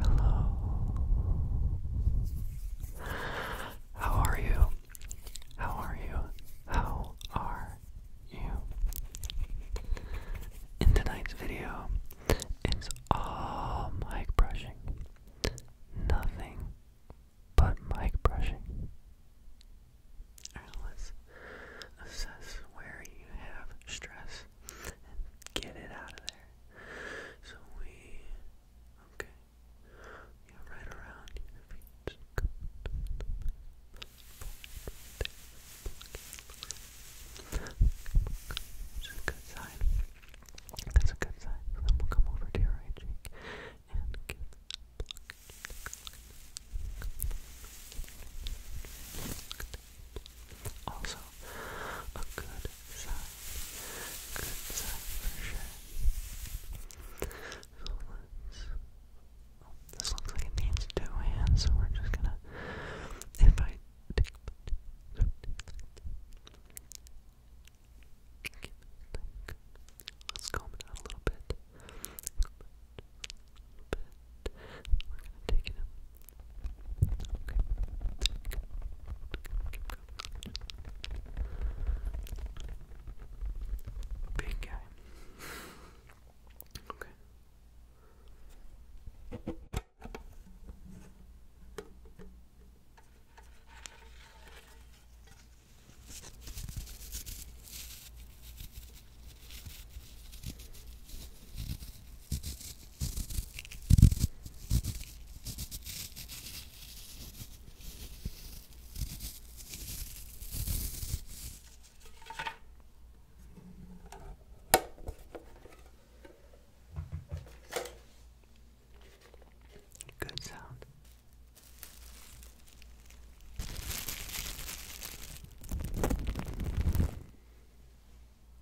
Hello. How are you? How are you? How are you? In tonight's video, it's all mic brushing. Nothing but mic brushing. Alright, let's assess where you have stress and get it out of there. So we, okay, right around your That's a good sign. That's a good sign. So then we'll come over to your cheek and give. Also, a good sign. Good sign for sure. Oh, this looks like it needs two hands, so we're just gonna. If Let's comb it out a little bit. We're gonna take it Big guy. okay. Okay. Good sound.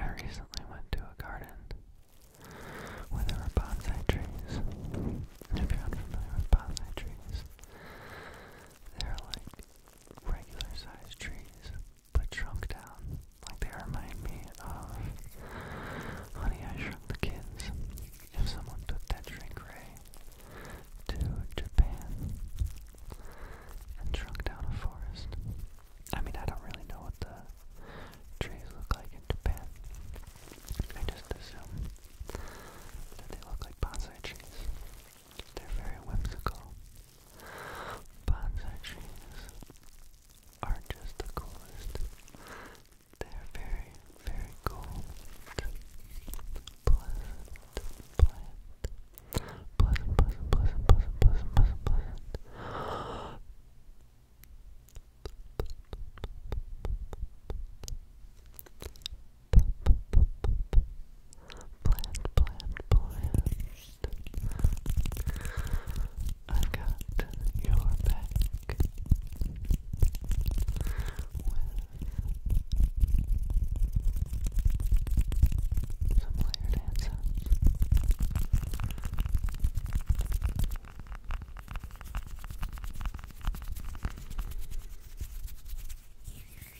I recently went to a garden where there were bonsai trees. if you're unfamiliar with bonsai trees, they're like regular sized trees the trunk down. Like they remind me of Honey, I Shrunk the Kids. If someone took that shrink ray to Japan and shrunk down a forest. I mean, I don't really know what the trees look like in Japan. I just assume that they look like bonsai trees. They're very whimsical Bonsai trees are just the coolest. They are very, very cool, pleasant plant. Pleasant, pleasant, pleasant, pleasant, pleasant, pleasant, pleasant. Plant, plant, plant. I've got your back with some layered hand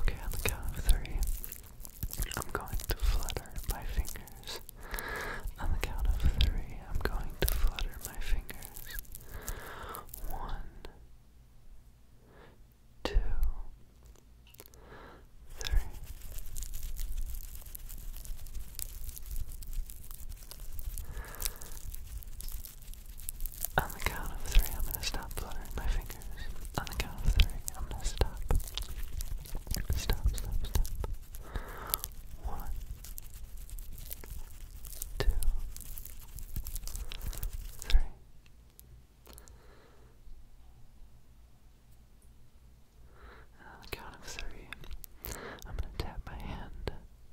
Okay, on the count of three, I'm going to flutter my fingers. On the count of three, I'm going to flutter my fingers. One, two, three. On the count of three, I'm gonna stop fluttering my fingers. On the count of three, I'm gonna stop. Stop, stop, stop. One, two, three. And on the count of three, I'm gonna tap my hand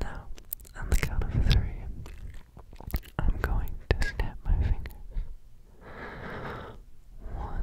Now, on the count of three, I'm going to snap my fingers. One,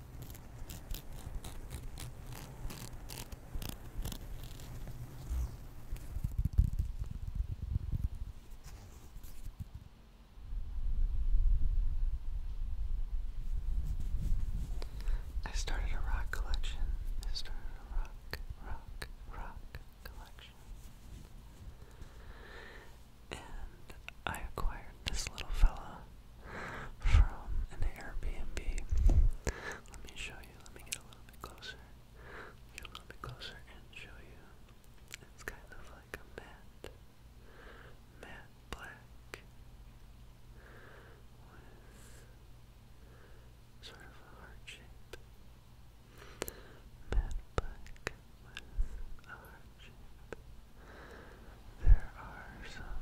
I started a rock collection. I started a rock, rock, rock collection. And I acquired this little fella from an Airbnb. Let me show you. Let me get a little bit closer. Get a little bit closer and show you. It's kind of like a matte, matte black with sort of a heart shape. Matte black with a heart shape. There are some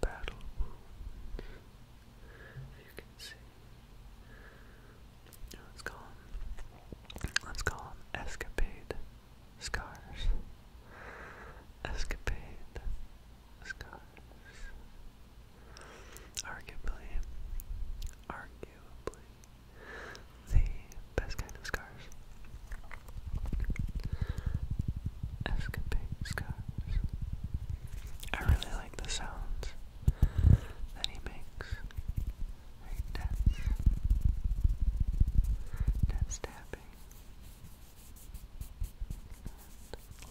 battle you can see. Let's call them, let's escapade scars. Escapade scars. Arguably, arguably, the best kind of scar scars. scars. I really like the sounds that he makes. Right, that's, tapping.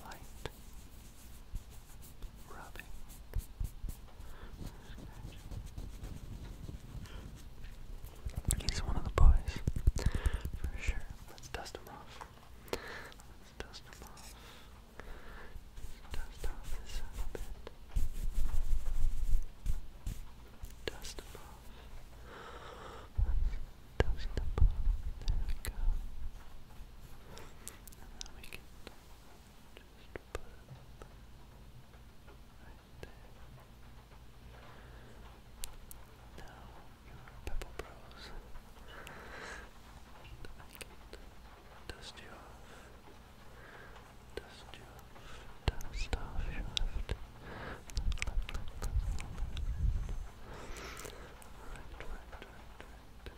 light rubbing. He's one of the boys. For sure. Let's dust him off. Let's dust him off. Dust off a bit. Dust him off. dust him off. There we go. And we can just put him right there. Now Pebble Bros. And dust you off. Dust you off. Dust off your left. Left, left, left, left. Right, right, right, right. Right.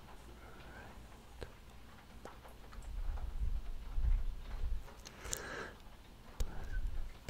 Pleasant,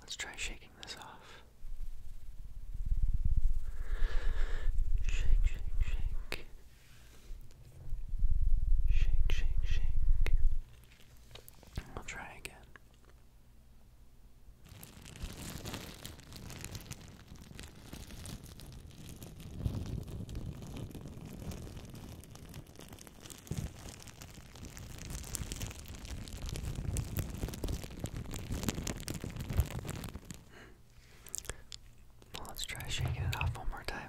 Let's try shaking this off. Shake, shake, shake. Shake, shake, shake. I'll try again let's try shaking it off one more time.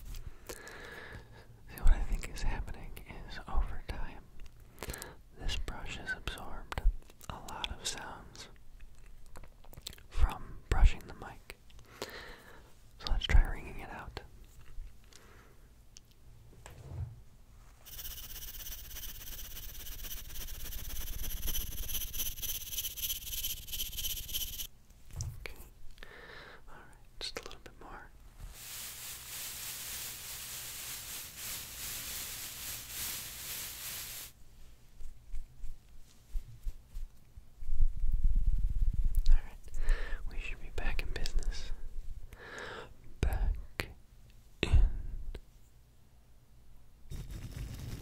See, what I think is happening is over time, this brush has absorbed a lot of sounds from brushing the mic. So let's try ringing it out. Okay. All right, just a little bit more. All right. We should be back in business. Back in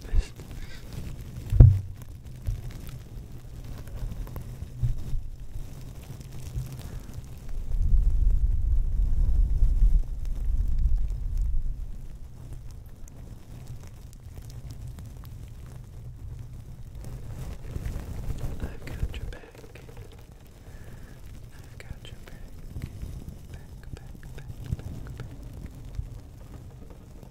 business. I've got your back. i got your back. Back, back, back, back, back.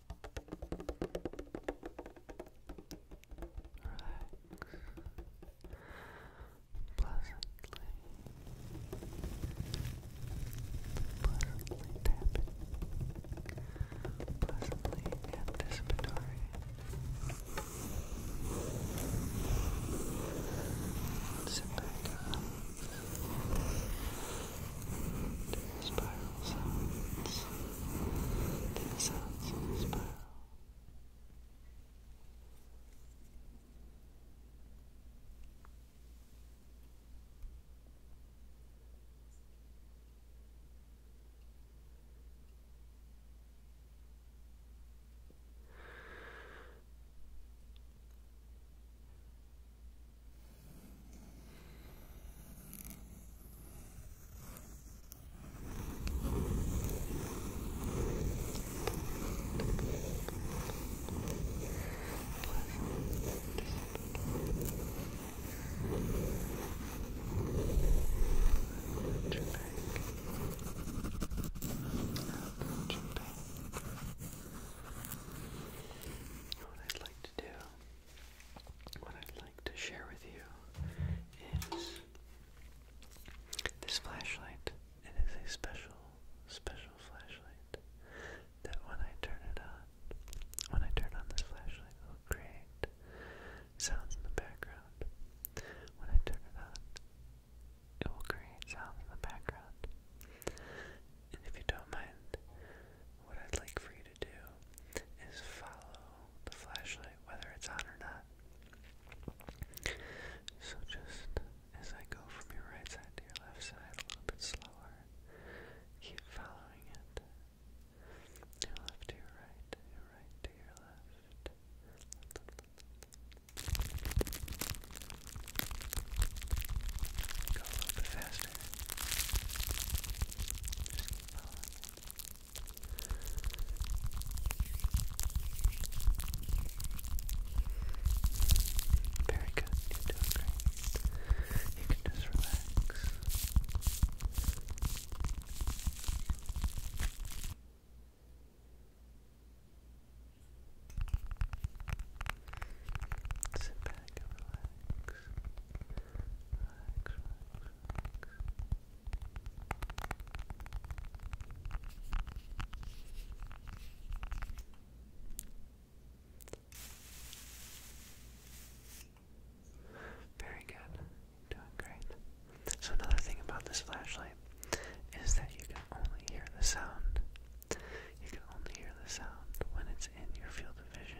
pleasantly, pleasantly tapping, pleasantly anticipatory. Sit back up the spiral sounds, the sounds in spiral. What I'd like to do what I'd like to share with you is this flashlight. It is a special, special flashlight that when I turn it on, when I turn on this flashlight, it will create sounds in the background. When I turn it on, it will create sounds in the background. And if you don't mind, what I'd like for you to do is follow the flashlight, whether it's on or not. So just as I go from your right side to your left side a little bit slower, keep following it. Your left to your right, to your left. Go a little bit faster. Very good, you You can just relax. Sit back and relax. Very good. Doing great. So another thing about this flashlight is that you can only hear the sound. You can only hear the sound when it's in your field of vision.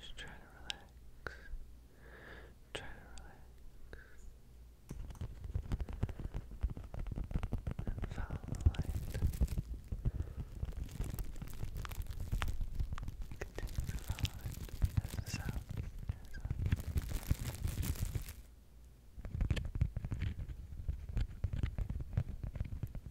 Just try to relax. Try to relax. follow the light. Continue to follow it as the sound goes on.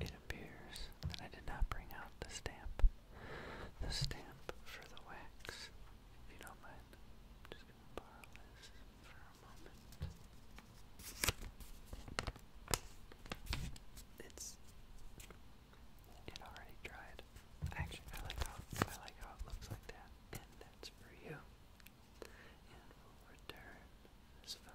It appears that I did not bring out the stamp. The stamp for the wax. If you don't mind, I'm just going to borrow this for a moment. It's it already dried. Actually I like how I like how it looks like that. And that's for you and will return his fellow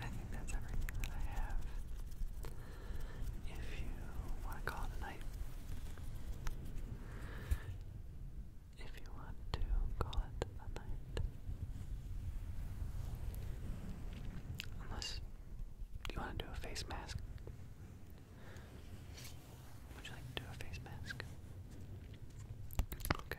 I think that's everything that I have if you want to call it a night. If you want to call it a night. Unless you want to do a face mask. Would you like to do a face mask? Okay.